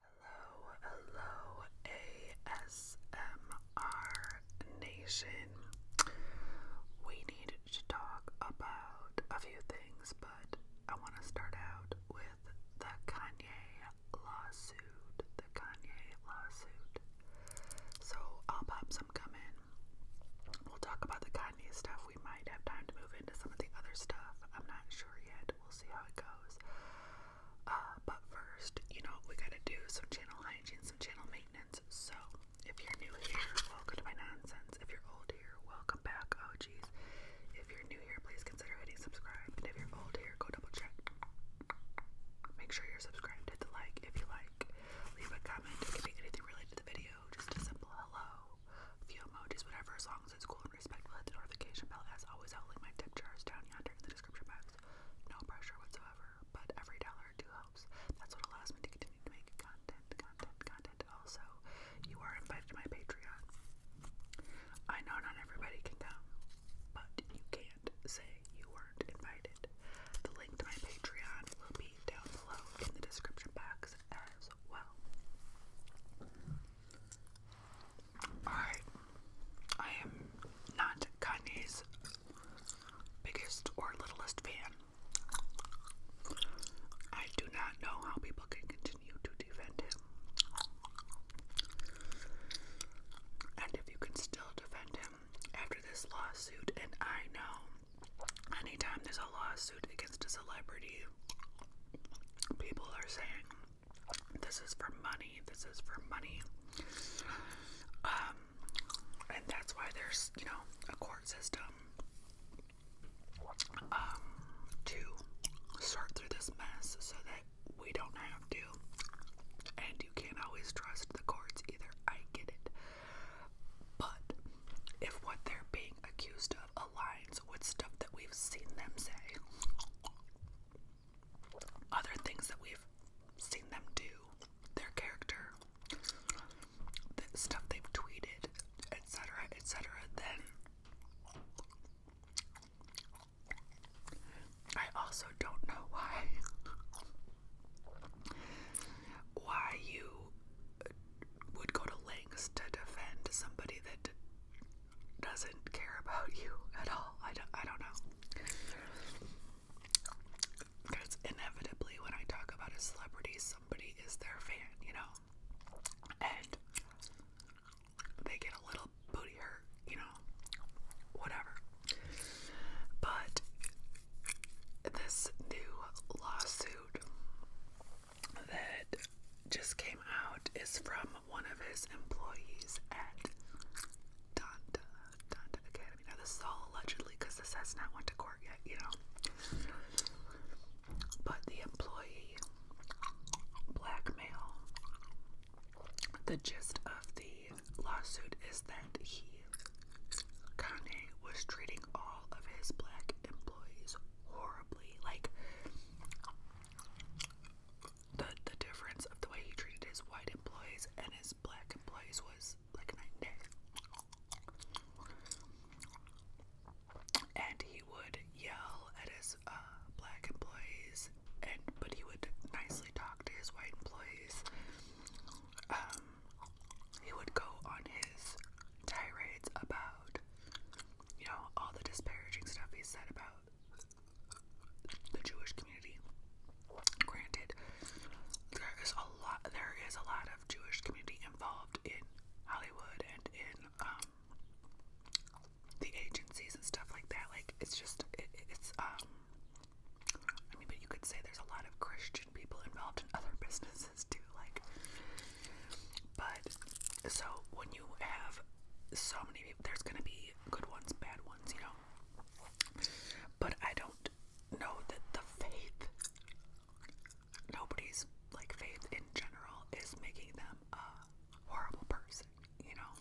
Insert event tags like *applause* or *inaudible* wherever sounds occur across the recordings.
Hello, hello, ASMR Nation. We need to talk about a few things, but I want to start out with the Kanye lawsuit. The Kanye lawsuit. So I'll pop some come in. We'll talk about the Kanye stuff, we might have time to move into some of the other stuff. I'm not sure yet. We'll see how it goes. Uh, but first, you know, we gotta do some channel hygiene, some channel maintenance. So, if you're new here, welcome to my nonsense. If you're old here, welcome back. Oh, jeez. If you're new here, please consider hitting subscribe. And if you're old here, go double check. Make sure you're subscribed. Hit the like if you like. Leave a comment. It can be anything related to the video. Just a simple hello few emojis, whatever, as long as it's cool and respectful. the notification bell as always. i my tip down yonder in the description box. No pressure whatsoever, but every dollar helps. That's what allows me to continue to make content, content, content. Also, you are invited to my Patreon. I know not everybody can come, but you can't say you weren't invited. The link to my Patreon will be down below in the description box as well. Alright, I am not Kanye's biggest or littlest fan. I do not know how people can continue to defend him. And if you can still defend him after this lawsuit, and I know anytime there's a lawsuit against a celebrity, people are saying, this is for money, this is for money. Um, and that's why there's, you know, a court system um, to sort through this mess so that we don't have to. And you can't always trust the courts either. I get it. But if what they're being accused of aligns with stuff that we've seen them say, other things that we've seen them do, their character, the stuff they've tweeted, etc., etc., then I also don't know why why you would go to lengths to defend somebody that doesn't care about *laughs* you at all. I don't, I don't know. Because inevitably, when I talk about a celebrity, somebody is their fan, you know? And they get a little booty hurt, you know? Whatever. But this new lawsuit that just came out is from one of his employees at Donda, Donda Academy. this all allegedly because this has not went to court yet, you know. But the employee blackmail. The gist of the lawsuit is that he Kanye was treating all of his black employees horribly. Like the the difference of the way he treated his white employees and his black employees was like night and day. And he would yell at his uh, black employees, and but he would nicely talk to his white employees um, he would go on his tirades about, you know, all the disparaging stuff he said about the Jewish community. Granted, there is a lot. There is a lot of Jewish community involved in Hollywood and in um, the agencies and stuff like that. Like it's just it, it's um I mean, but you could say there's a lot of Christian people involved in other businesses too, like. But so when you have so many people, there's gonna be good ones, bad ones, you know. But I don't know that the faith, nobody's like faith in general, is making them a horrible person, you know.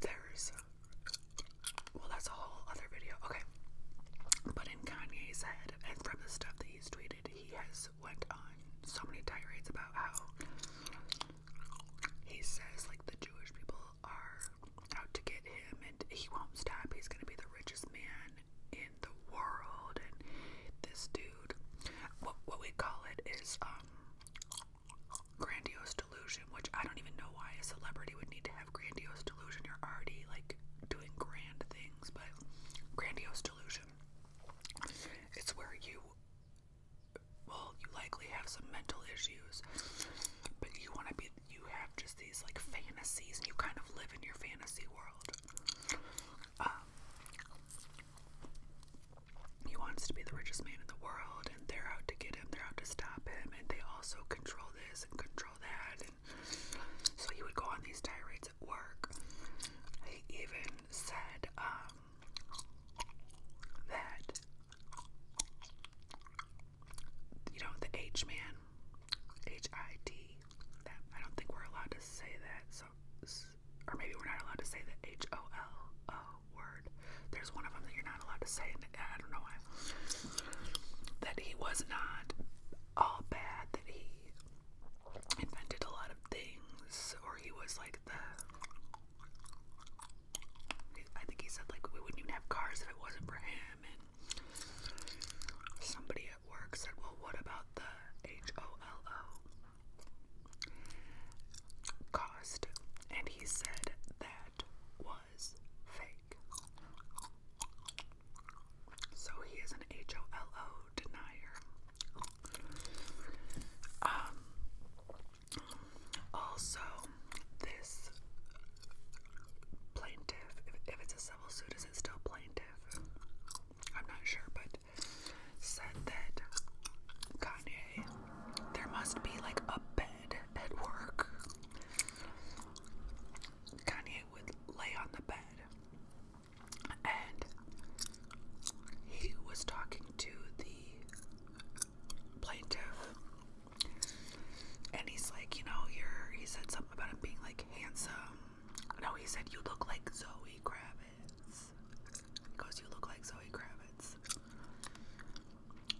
There's well, that's a whole other video. Okay. But in Kanye's head, and from the stuff that he's tweeted, he has went on so many tirades about how he says like the Jewish people are out to get him, and he won't stop. He's gonna be the richest man in the world, and this dude, what what we call it is um grandiose delusion, which I don't even know why a celebrity would need to have grandiose delusion. You're already like doing grand things, but grandiose delusion. It's where you well, you likely have some mental issues, but you want to be you have just these like fantasies and you kind of live in your fantasy world. Um he wants to be the richest man in the world and they're out to get him, they're out to stop him, and they also control this and control that. And so he would go on these tirades at work. He even said um, that, you know, the H man, H I T, that I don't think we're allowed to say that. So, or maybe we're not allowed to say the H O L O word word. There's one of them that you're not allowed to say, and I don't know why. That he was not all bad, that he invented a lot of things, or he was like the. I think he said, like, we wouldn't even have cars if it wasn't for him. And somebody at work said, well, what about the H O L O? Cost. And he said that was fake. So he is an HOLO denier. Um, also, this plaintiff, if, it's a civil suit, is it still plaintiff? I'm not sure, but said that Kanye, there must be like a at work, Kanye would lay on the bed and he was talking to the plaintiff and he's like, you know, you're he said something about him being like handsome. No, he said you look like Zoe Kravitz. because You look like Zoe Kravitz.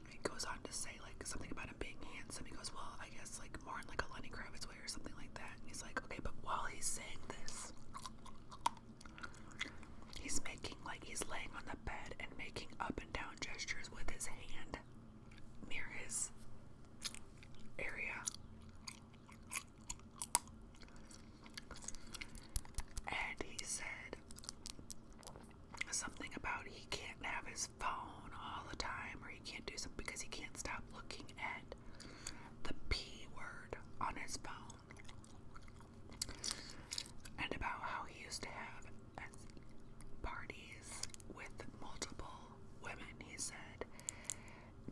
He goes on to say like something about him being handsome. He goes, well, I guess like more in like a Lenny Kravitz way or something like that. he's like, okay, but while he's saying this, he's making like he's laying on the bed and making up and down gestures with his hand near his area. And he said, something about he can't have his phone all the time or he can't do something because he can't stop looking at the P word on his phone. And about how he used to have parties with multiple women, he said.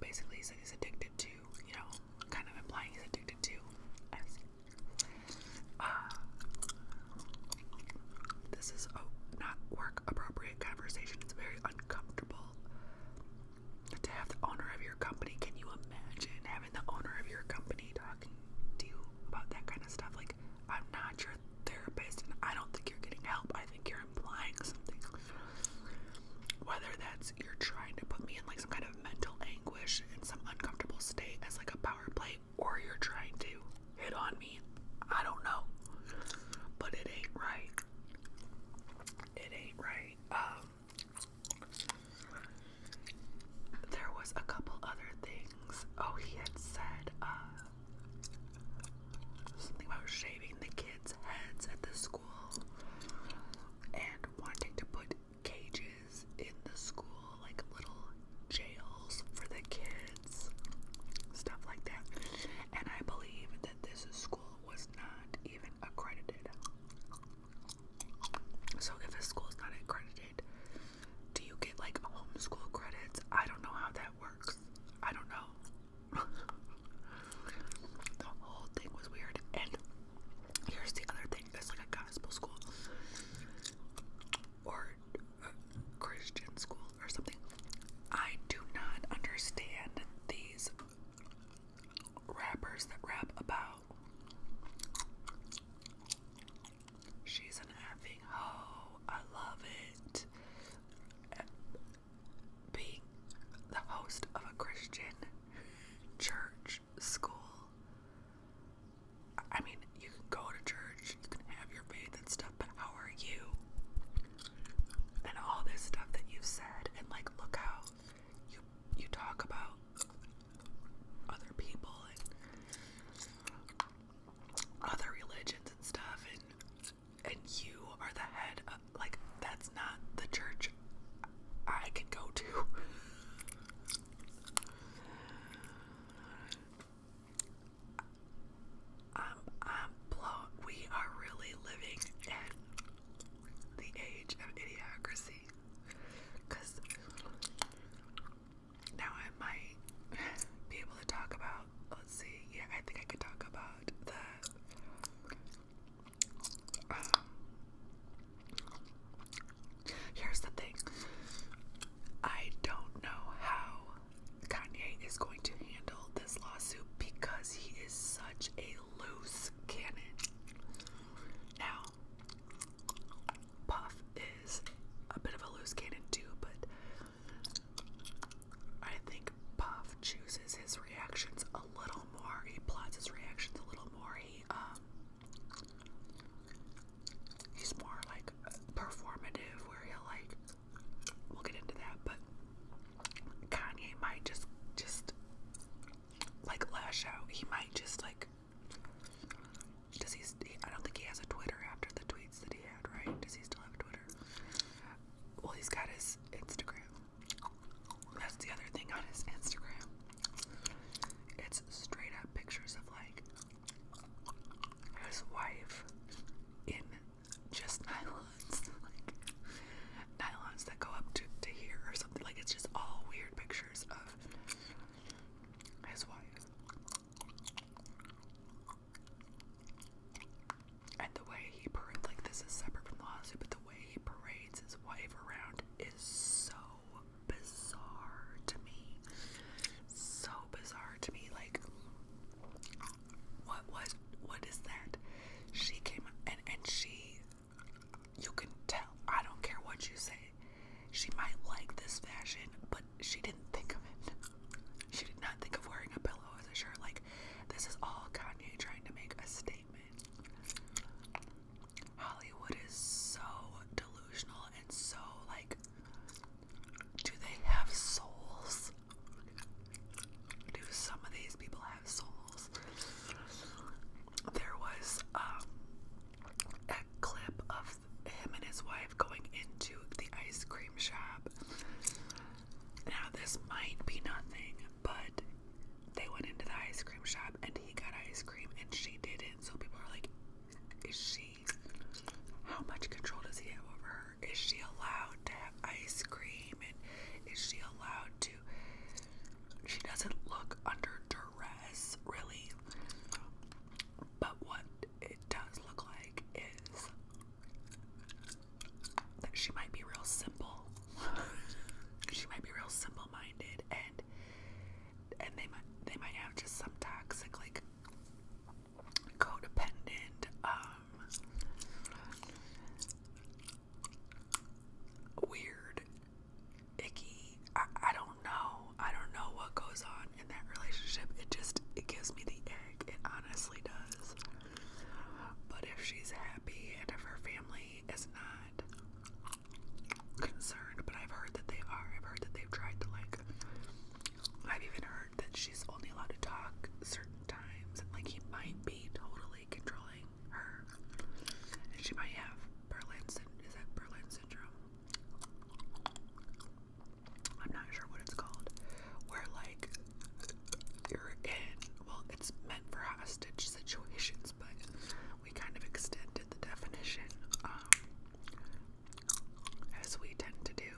Basically, he said he's addicted to, you know, kind of implying he's addicted to uh, this is a not work appropriate conversation. It's very uncomfortable to have the owner of your company. Can you imagine having the owner of your company talking to you about that kind of stuff? Like, I'm not your therapist and I don't think you're getting help. I think you're implying something. Whether that's you're trying to put me in like some kind of mental anguish and some uncomfortable state as like a power play or you're trying to hit on me. I don't know. But it ain't right. It ain't right. Um there was a couple other things. Oh, he had said uh something about shaving the kids' heads at the school and wanting to put cages in the school, like little jails for the kids, stuff like that. And I believe that this school was not even accredited. So if a school is not accredited, do you get like homeschool credits? I don't know how that works. I don't know. *laughs* the whole thing was weird. And here's the other thing that's like a gospel school or Christian school or something. I do not understand these rappers that rap about she's an effing hoe. I love it. Being the host of a Christian church school. I mean, you can go to church, you can have your faith and stuff, but how are you? And all this stuff that you've said, and like, look how you you talk about other people and other religions and stuff, and and you are the head of like that's not the church I can go to. I'm, I'm blown. We are really living in the age of idiocracy. Because now I might be able to talk about, let's see, yeah, I think I could talk about the. Um, Here's the thing I don't know how Kanye is going to handle this lawsuit because he is such a loose cannon. Now, Puff is a bit of a loose cannon too, but I think Puff chooses his reactions a little more. He plots his reactions a little more. He um He's more like performative, where he'll like. We'll get into that, but Kanye might just just like lash out. He might just like. Does he? I don't think he has a Twitter after the tweets that he had, right? Does he still have Twitter? Well, he's got his Instagram. That's the other thing on his Instagram. It's straight up pictures of like his wife in just *laughs* nylons, like nylons that go up to, to here or something. Like it's just all weird pictures of his wife. And the way he parades, like this is separate from lawsuit, but the way he parades his wife around is so bizarre to me. So bizarre to me. Like, what was, what is that? She came and, and she, you can tell, I don't care what you say. She might like this fashion, but she didn't think of it. She did not think of wearing a pillow as a shirt. Like, this is all Kanye trying to make a statement. Hollywood is so delusional and so like, do they have souls? Do some of these people have souls? There was um, a clip of him and his wife going into the ice cream shop. Now, this might be nothing, but they went into the ice cream shop and he got ice cream and she didn't. So people are like, is she, how much control does he have over her? Is she allowed to have ice cream? And is she allowed to, she doesn't look under duress, really. But what it does look like is that she might be real simple. *laughs* she might be real simple minded and and they might they might have just some toxic like codependent um, weird icky I, I don't know I don't know what goes on in that relationship it just it gives me the egg it honestly does but if she's happy and if her family is not concerned, but I've heard that they are. I've heard that they've tried to like. I've even heard that she's only allowed to talk certain times, and like he might be totally controlling her, and she might have Berlin syndrome. Is that Berlin syndrome? I'm not sure what it's called. Where like you're in. Well, it's for hostage situations, but we kind of extended the definition um, as we tend to do.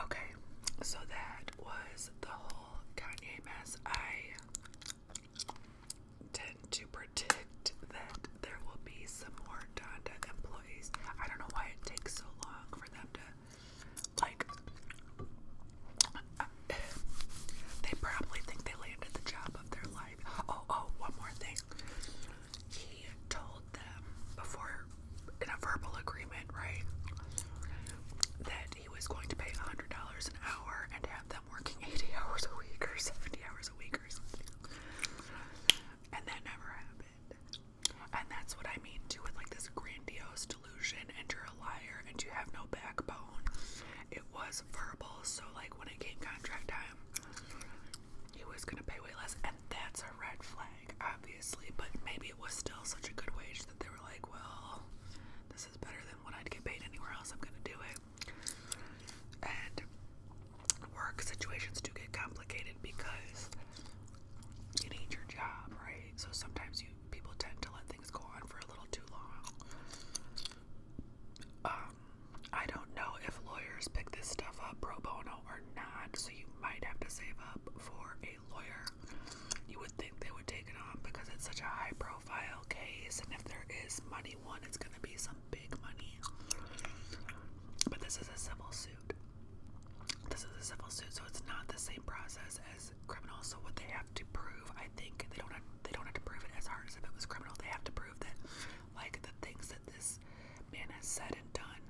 Okay, so that was the whole Kanye mess. I tend to predict that there will be some more Donda employees. I don't know why it takes so long for them to like, uh, they probably think they landed the job of their life. Oh, oh, one more thing. He told them before, in a verbal agreement, right, that he was going to pay $100 an hour and have them working 80 *laughs* hours a week or 70 hours a week or something. And that never happened. And that's what I mean too with like this grandiose and you're a liar and you have no backbone. It was verbal, so like when it came contract time, he was gonna pay way less, and that's a red flag, obviously. But maybe it was still such a good wage that they were like, well, this is better than what I'd get paid anywhere else. I'm gonna do it. And work situations do get complicated because you need your job, right? So sometimes you people tend to let things go on for a little too long. Um, I don't know if lawyers pick this stuff up pro bono or not, so you might have to save up for a lawyer. You would think they would take it on because it's such a high profile case, and if there is money won, it's gonna be some big money. But this is a civil suit. This is a civil suit, so it's not the same process as is criminal, so what they have to prove, I think they don't have, they don't have to prove it as hard as if it was criminal. They have to prove that like the things that this man has said and done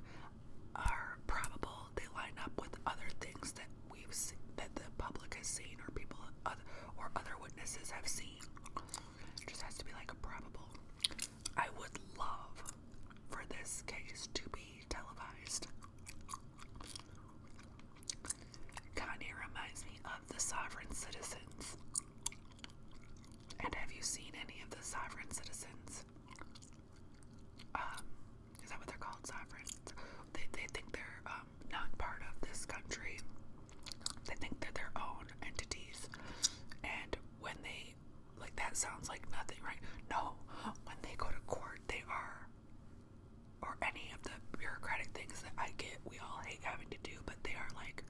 are probable. They line up with other things that we've seen, that the public has seen or people other, or other witnesses have seen. It just has to be like a probable. I would love for this case to be televised. Kind of reminds me of the Sovereign Citizens. And have you seen any of the Sovereign Citizens? Um, is that what they're called? Sovereign? They, they think they're um, not part of this country. They think they're their own entities. And when they, like, that sounds like nothing, right? No, when they go to court, they are or any of the bureaucratic things that I get we all hate having to do, but they are like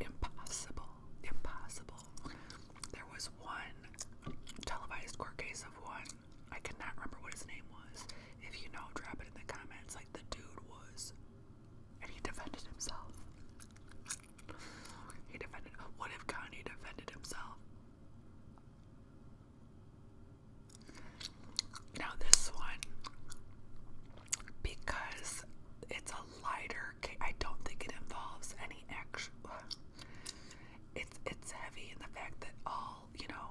impossible. Impossible. There was one televised court case of one. I cannot remember what his name was. If you know, drop it in the comments. Like the dude was and he defended himself. He defended what if Kanye defended himself? Now, this one, because it's a lighter I don't think it involves any extra. *sighs* It's, it's heavy in the fact that all, you know,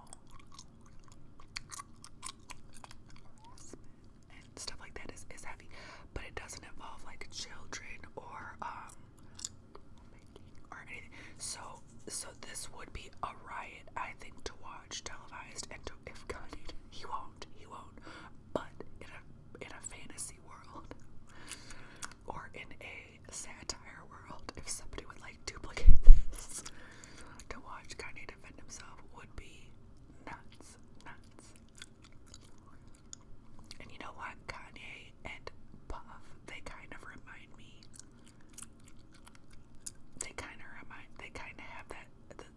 stuff like that is, is heavy, but it doesn't involve like children or um so, so this would be a riot, I think, to watch televised. And to, if Kanye, he won't, he won't. But in a in a fantasy world, or in a satire world, if somebody would like duplicate this, to watch Kanye defend himself would be nuts, nuts. And you know what? Kanye and Puff, they kind of remind me. They kind of remind, they kind of have that,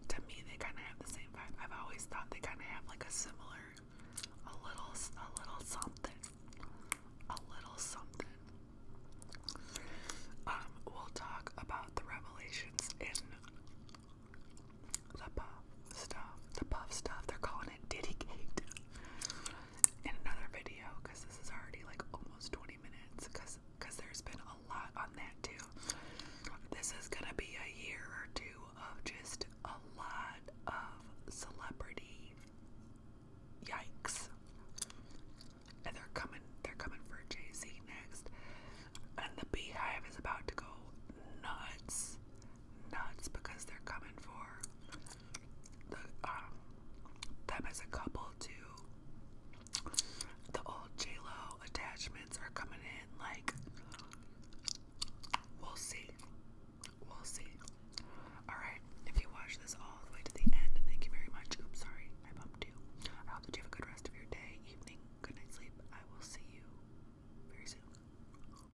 to me, they kind of have the same vibe. I've always thought they kind of have like a similar, a little, a little something. A little something. Um, we'll talk about the revelations in the puff stuff. The puff stuff. They're calling it Diddy Gate in another video because this is already like almost 20 minutes because because there's been a lot on that too. This is gonna be a year or two of just a lot of celebrity yikes. And they're coming they're coming for Jay-Z next. And the beehive is about to go nuts nuts because they're coming for the um them as a couple too. The old J Lo attachments are coming in like we'll see. We'll see. Alright, if you watch this all the way to the end, thank you very much. Oops, sorry, I bumped you. I hope that you have a good rest of your day, evening, good night sleep. I will see you very soon.